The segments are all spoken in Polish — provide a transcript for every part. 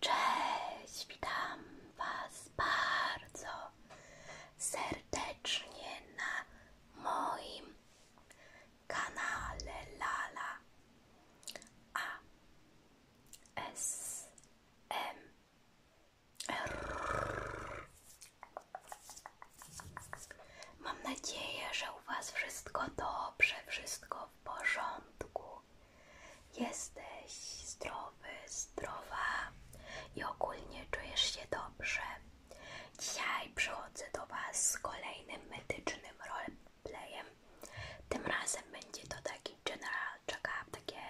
Cześć, Was bardzo serdecznie na moim kanale Lala A S M Mam nadzieję, że u Was wszystko dobrze, wszystko w porządku. Jesteś zdrowy, zdrowa i ogólnie czujesz się dobrze. Dzisiaj przychodzę do Was z kolejnym medycznym roleplayem. Tym razem będzie to taki generalny, check-up, takie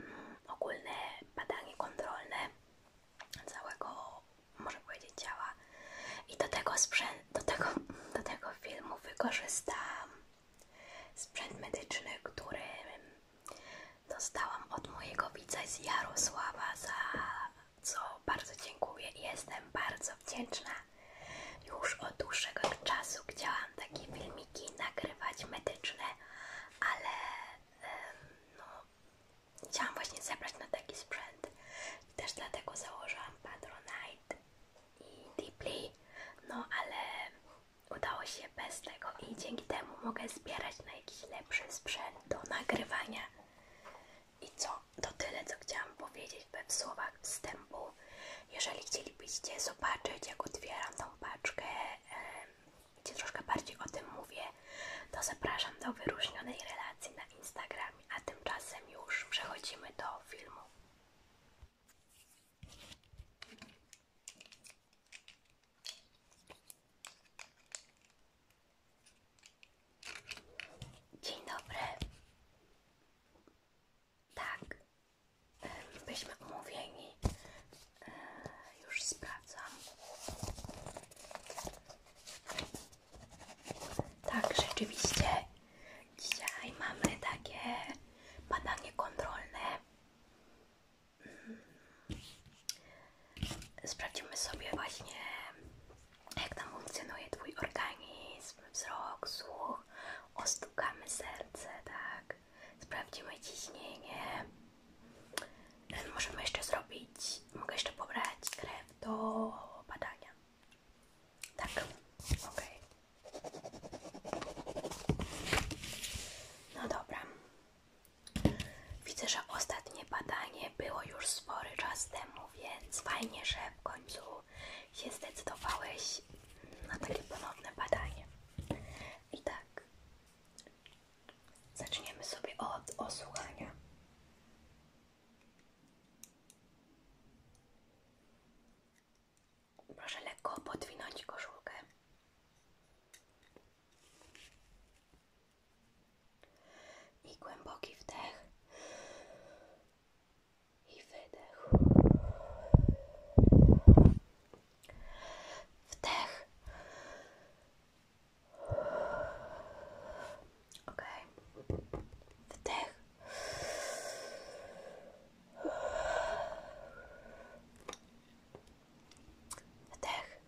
mm, ogólne badanie kontrolne całego, może powiedzieć, ciała. I do tego, sprzęt, do, tego, do tego filmu wykorzystam sprzęt medyczny, który dostałam od mojego widza z Jarosława, za co bardzo dziękuję i jestem bardzo wdzięczna. Już od dłuższego czasu chciałam takie filmiki nagrywać medyczne, ale no, Chciałam właśnie zebrać na taki sprzęt i też dlatego założyłam Patronite i Deeply, no ale udało się bez tego i dzięki temu mogę zbierać na jakiś lepszy sprzęt do nagrywania. I co? To tyle, co chciałam powiedzieć we w słowach wstępu. Jeżeli chcielibyście zobaczyć, jak otwieram tą paczkę gdzie troszkę bardziej o tym mówię, to zapraszam do wyróżnionej relacji na Instagramie, a tymczasem już przechodzimy do filmu. Dzień dobry. Tak, byliśmy umówieni e, już sprawdzam. Tak, rzeczywiście. Dzisiaj mamy takie badanie kontrolne. Mm. Sprawdzimy sobie właśnie, jak tam funkcjonuje Twój organizm, wzrok, słuch. Ostukamy serce, tak. Sprawdzimy ciśnienie. Możemy jeszcze zrobić, mogę jeszcze pobrać krew do badania. Tak, ok. No dobra. Widzę, że ostatnie badanie było już spory czas temu, więc fajnie, że w końcu się zdecydowałeś na takie ponowne badanie. I tak, Zaczniemy sobie od osłuchania. Proszę lekko podwinąć koszulkę. I głęboki wdech i wydech. Wdech Okej. Okay. Wdech. Wdech.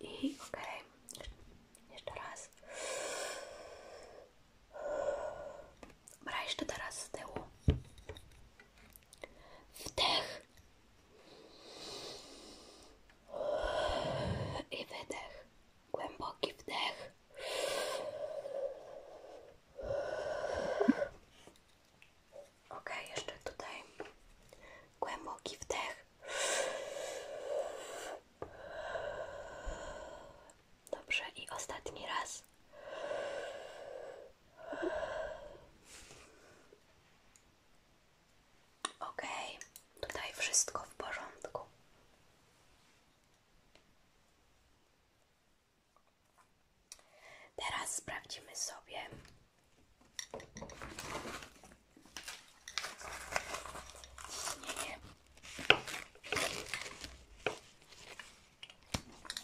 I okej. Okay. Jeszcze raz. Dobra, jeszcze teraz z Wdech i wydech. Głęboki wdech. Ok, jeszcze tutaj. Głęboki wdech. Dobrze, i ostatni raz. Ok, tutaj wszystko w porządku. Teraz sprawdzimy sobie.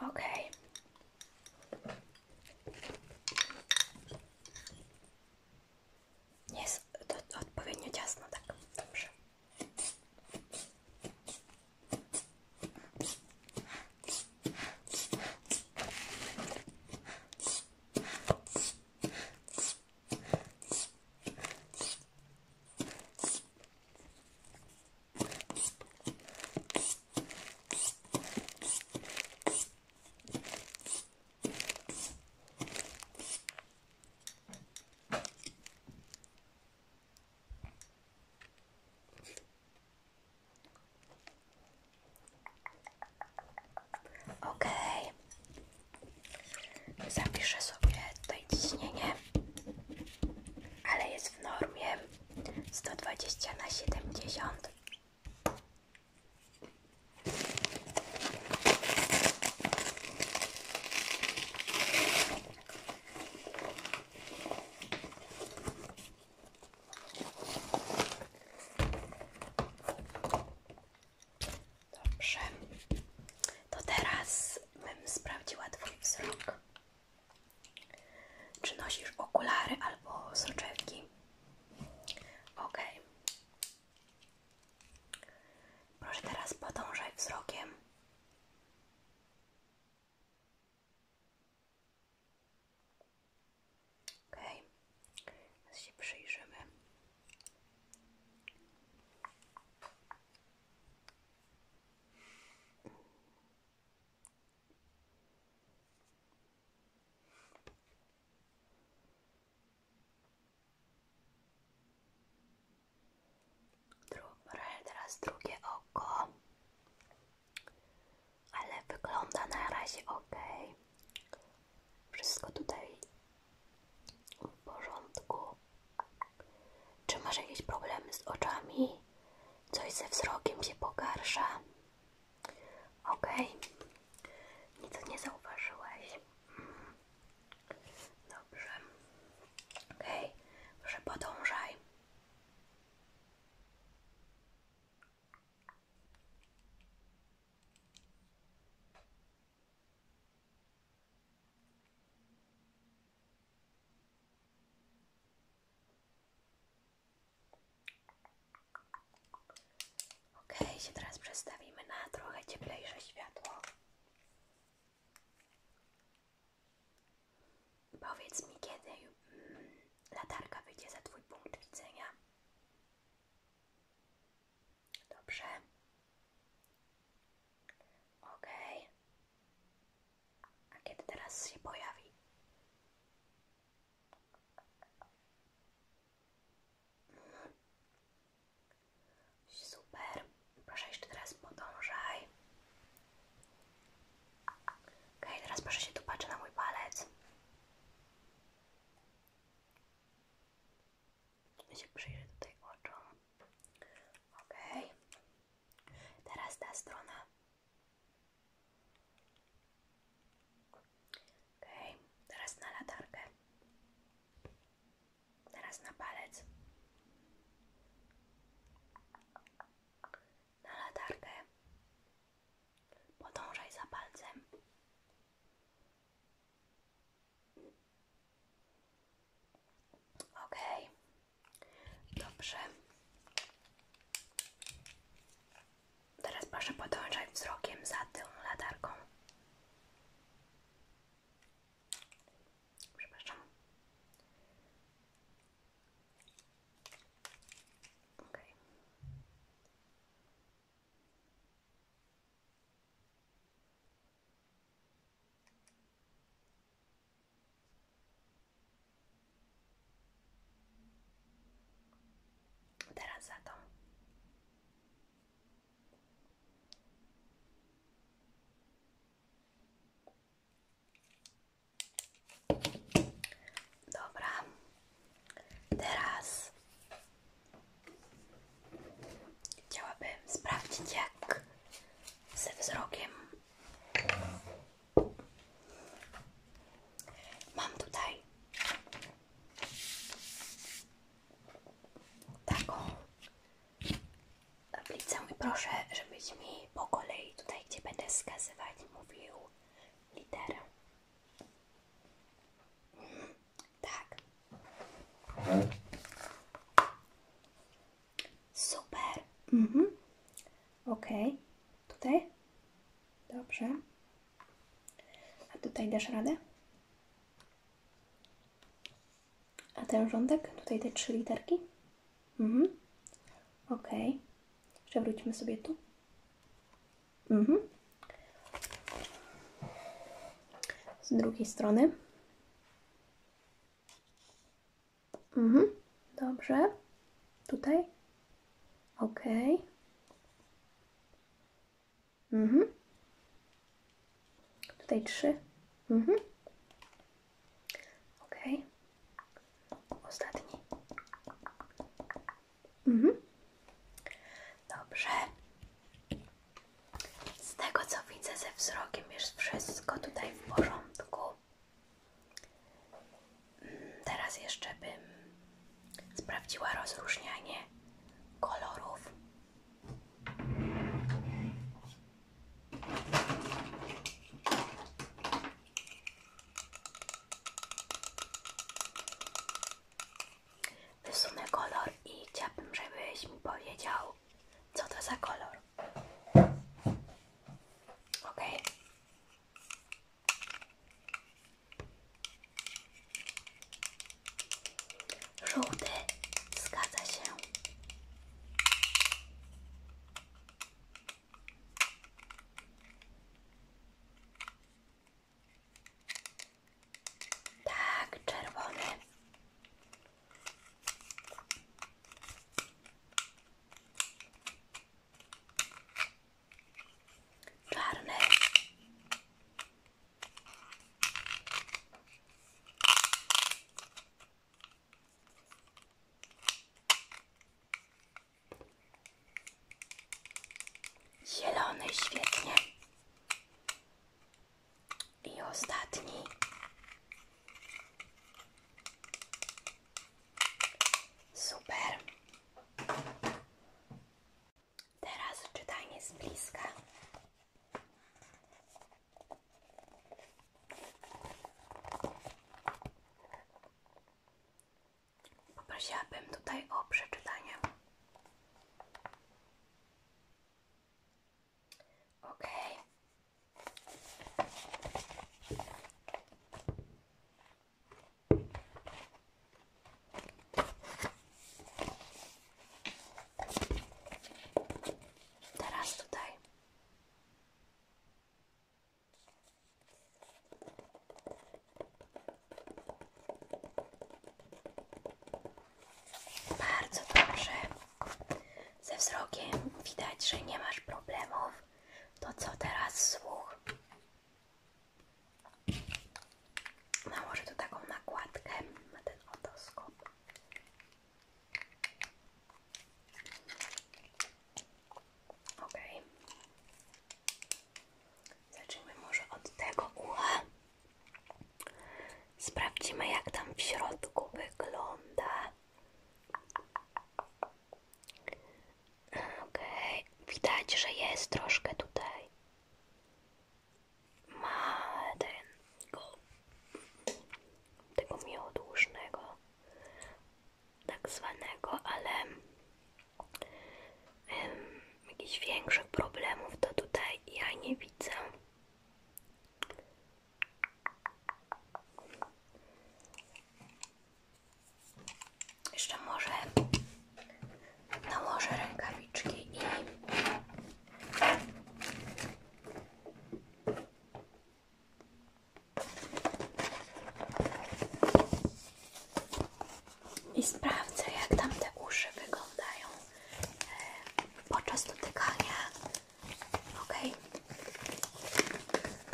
Ok. Jest to odpowiednio ciasno, tak. Dobrze. Ok, zapiszę sobie tutaj ciśnienie ale jest w normie 120 na siedemdziesiąt. Dobrze, to teraz bym sprawdziła Twój wzrok. Czy nosisz okulary albo soczewki? Ok. Proszę teraz podążaj wzrokiem. Ok. Teraz Dobra, teraz drugie oko, ale wygląda na razie ok. Wszystko tutaj w porządku. Czy masz jakieś problemy z oczami? Coś ze wzrokiem się pogarsza. Okej. Okay. Nic nie zauważyłeś. Mm. Dobrze. Okej. Okay. Proszę podążaj. OK, się teraz przestawimy na trochę cieplejsze światło. Powiedz mi, kiedy mm, latarka wyjdzie za Twój punkt widzenia. Dobrze. OK. A kiedy teraz się pojawi? Super. Proszę jeszcze teraz podążaj. Ok, teraz proszę się tu patrzeć na mój palec. Ja się przyjrzę tutaj oczom. Ok. Teraz ta strona. Okej, teraz na latarkę. Teraz na palec. Na latarkę. Podążaj za palcem. Okej, Dobrze. Teraz proszę podążać wzrokiem za tą latarką. Przepraszam. Teraz za to. Dobra, teraz chciałabym sprawdzić, jak ze wzrokiem Mam tutaj taką tablicę i proszę, żebyś mi po kolei tutaj, gdzie będę wskazywać, mówił literę. Tak. Mhm. Super. Mhm. Ok. Tutaj? Dobrze. A tutaj dasz radę? A ten rządek? Tutaj te trzy literki? Mhm. Ok. Jeszcze sobie tu. Mhm. Z drugiej strony. Mhm, dobrze. Tutaj? Ok. Mhm. Tutaj trzy. Mhm. Ok. Ostatni. Mhm. Dobrze. Z tego co widzę ze wzrokiem jest wszystko tutaj w porządku. Teraz jeszcze bym sprawdziła rozróżnianie kolorów. Wysunę kolor i chciałabym, żebyś mi powiedział, co to za kolor. Ok, Żółty, zgadza się. Tak, czerwony czarny zielony świetnie i ostatni Super. Teraz czytanie z bliska. Poprosiłabym tutaj o przeczytanie. Ok. Teraz tutaj. Bardzo dobrze. Ze wzrokiem widać, że nie masz problemów. To co teraz słuch? Nałożę no, tu taką nakładkę na ten otoskop. Ok. Zacznijmy może od tego ucha. Sprawdzimy jak tam w środku wygląda. Okej, widać, że jest troszkę tutaj. Ma tego miodłużnego, tak zwanego, ale jakiś większych problemów to tutaj ja nie widzę. Jeszcze może nałożę rękawiczki i sprawdzę, jak tam te uszy wyglądają e, podczas dotykania. Ok.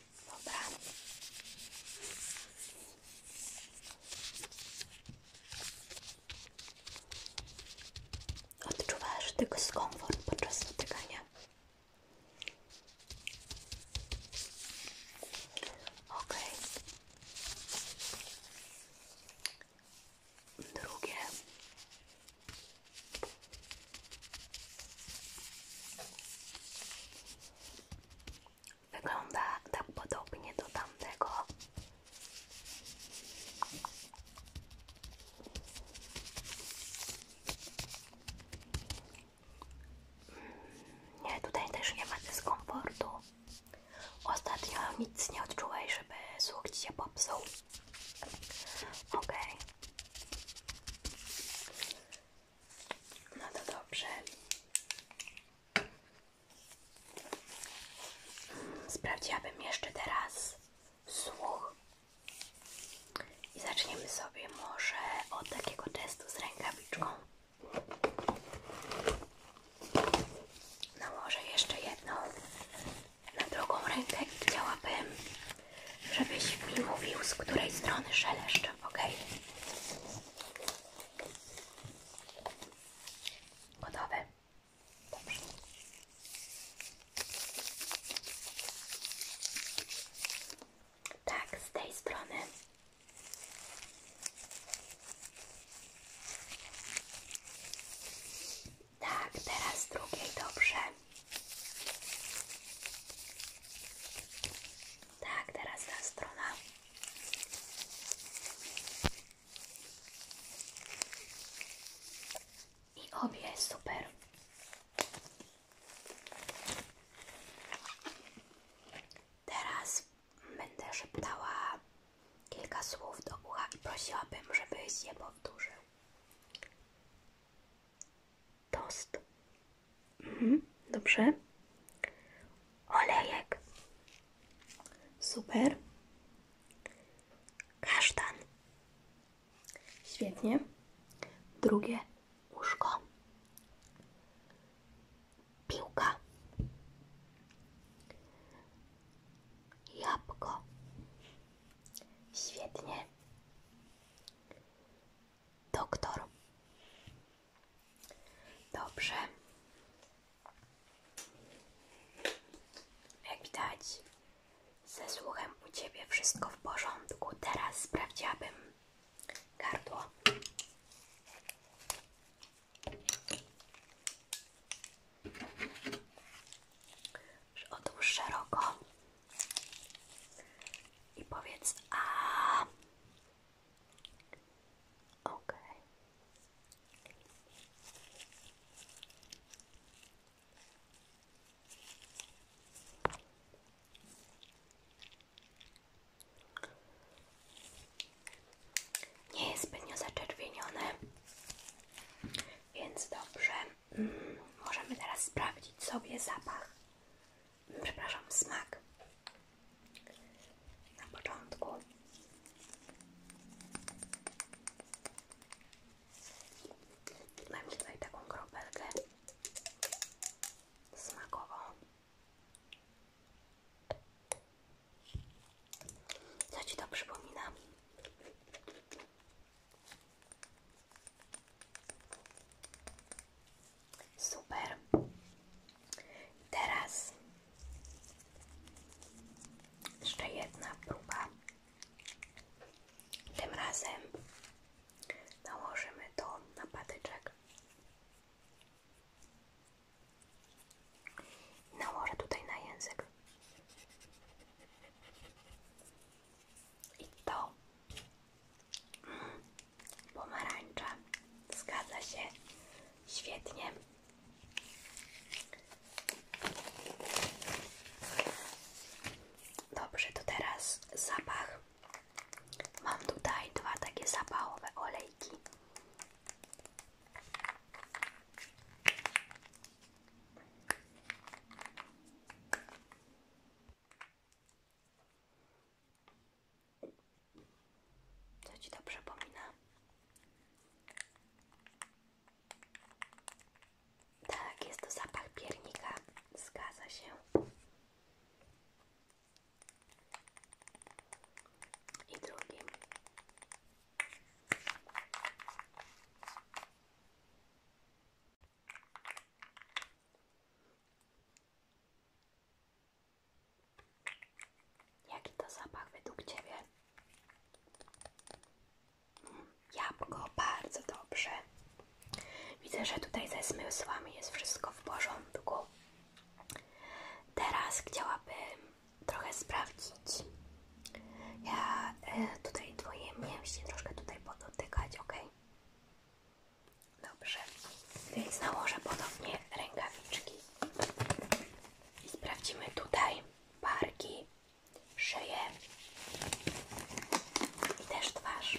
Dobra. Odczuwasz tylko skomfort podczas dotykania. Ok. Drugie. Wygląda tak podobnie do tamtego. Hmm, nie, tutaj też nie ma dyskomfortu. Ostatnio nic nie odczułeś, żeby słuch się popsuły. Ok. No to dobrze. Sprawdziłabym jeszcze teraz słuch. I zaczniemy sobie może od takiego testu z rękawiczką. Nałożę no, jeszcze jedną na drugą rękę i chciałabym, żebyś mi mówił, z której strony szeleszczę, ok? Gotowe? Tak, z tej strony. Tak, teraz z drugiej dobrze. Tak, teraz ta strona. I obie super. Teraz będę szeptała kilka słów do ucha i prosiłabym, żebyś je powtórzył. Toast. Mhm, dobrze. Olejek. Super. Kasztan. Świetnie. Drugie łóżko. Piłka. Jabłko. Świetnie. Doktor. Dobrze. Jak widać, ze słuchem u Ciebie wszystko w porządku. Teraz sprawdziłabym gardło. Otwórz szeroko i powiedz a. Ok. Nie jest więc dobrze. Mm, możemy teraz sprawdzić sobie zapach. Przepraszam, smak na początku. Mam tutaj taką kropelkę smakową. Co przypomina? Super. Teraz jeszcze jedna próba. Tym razem nałożymy to na patyczek. Nałożę tutaj na język. I to mm, pomarańcza. Zgadza się. Świetnie. Dobrze, to teraz zapach. Mam tutaj dwa takie zapachowe olejki. Co ci to Tak, jest to zapach piernika. Zgadza się. I drugim. Jaki to zapach według Ciebie? Jabłko, bardzo dobrze. Widzę, że tutaj ze zmysłami jest wszystko w porządku. Teraz chciałabym trochę sprawdzić. Ja e, tutaj Twoje mięśnie troszkę tutaj podotykać, ok? Dobrze, więc nałożę ponownie rękawiczki. I sprawdzimy tutaj barki, szyję i też twarz.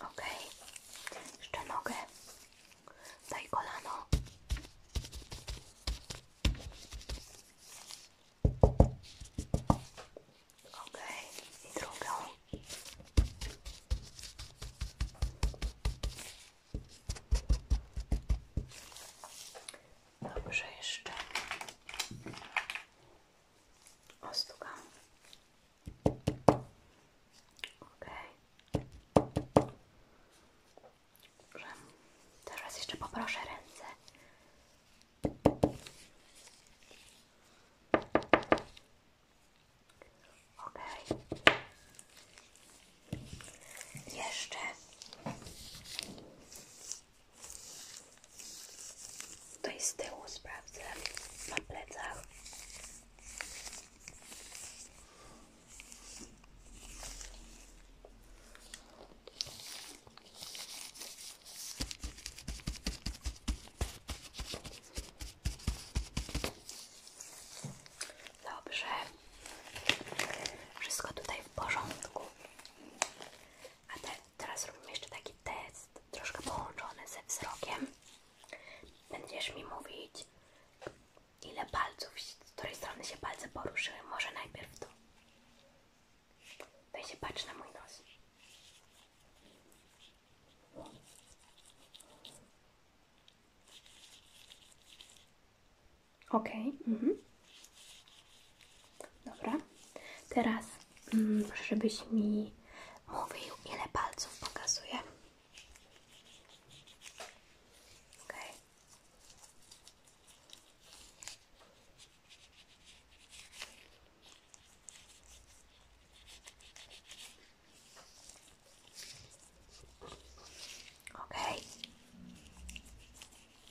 Ok, jeszcze nogę, daj kolano. Ok, i drugą. Dobrze, jeszcze ostukam. Ok. Teraz jeszcze poproszę ręce. Ok. Jeszcze tutaj z tyłu sprawdzę na plecach. Dobrze. Wszystko tutaj w porządku. A teraz robimy jeszcze taki test, troszkę połączony ze wzrokiem. Będziesz mi mówić, ile palców, z której strony się palce poruszyły. Może najpierw tu. Tutaj się patrz na mój nos. Ok. Mhm. Dobra. Teraz, mm, żebyś mi mówił, ile palców pokazuje. Ok.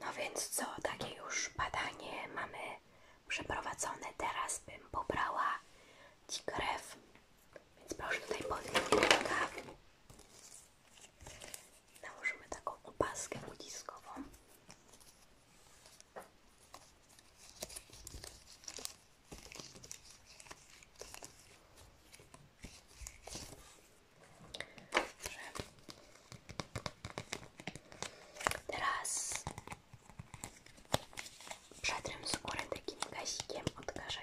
No więc co, takie już badanie mamy przeprowadzone. Teraz bym pobrała Ci krew, więc proszę tutaj podnieść rękę. Nałożymy taką opaskę uciskową. Dobrze. Teraz przetrę skórę takim gazikiem odkażającym.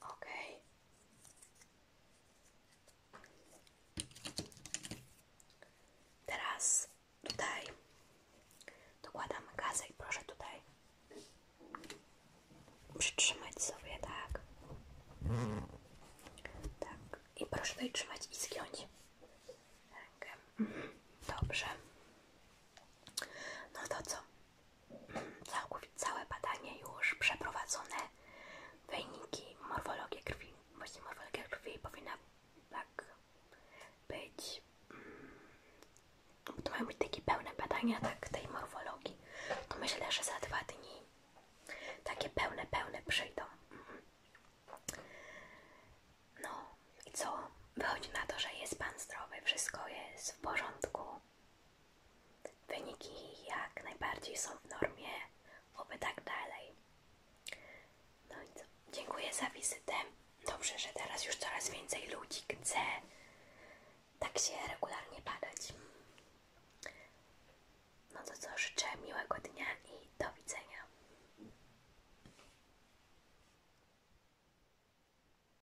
Ok. Teraz tutaj dokładam gazę i proszę tutaj przytrzymać sobie, tak. Tak. I proszę tutaj trzymać i zgiąć rękę. Mhm. Dobrze. No to co? Całe badanie już przeprowadzone, wyniki, morfologia krwi, właśnie morfologia krwi powinna tak być, mm, to mają być takie pełne badania tak, tej morfologii, to myślę, że za dwa dni takie pełne, pełne przyjdą. Mhm. No i co? Wychodzi na to, że jest Pan zdrowy, wszystko jest w porządku. Wyniki jak najbardziej są w normie, oby tak dalej. No i Dziękuję za wizytę. Dobrze, że teraz już coraz więcej ludzi chce tak się regularnie badać. No to co, życzę miłego dnia i do widzenia.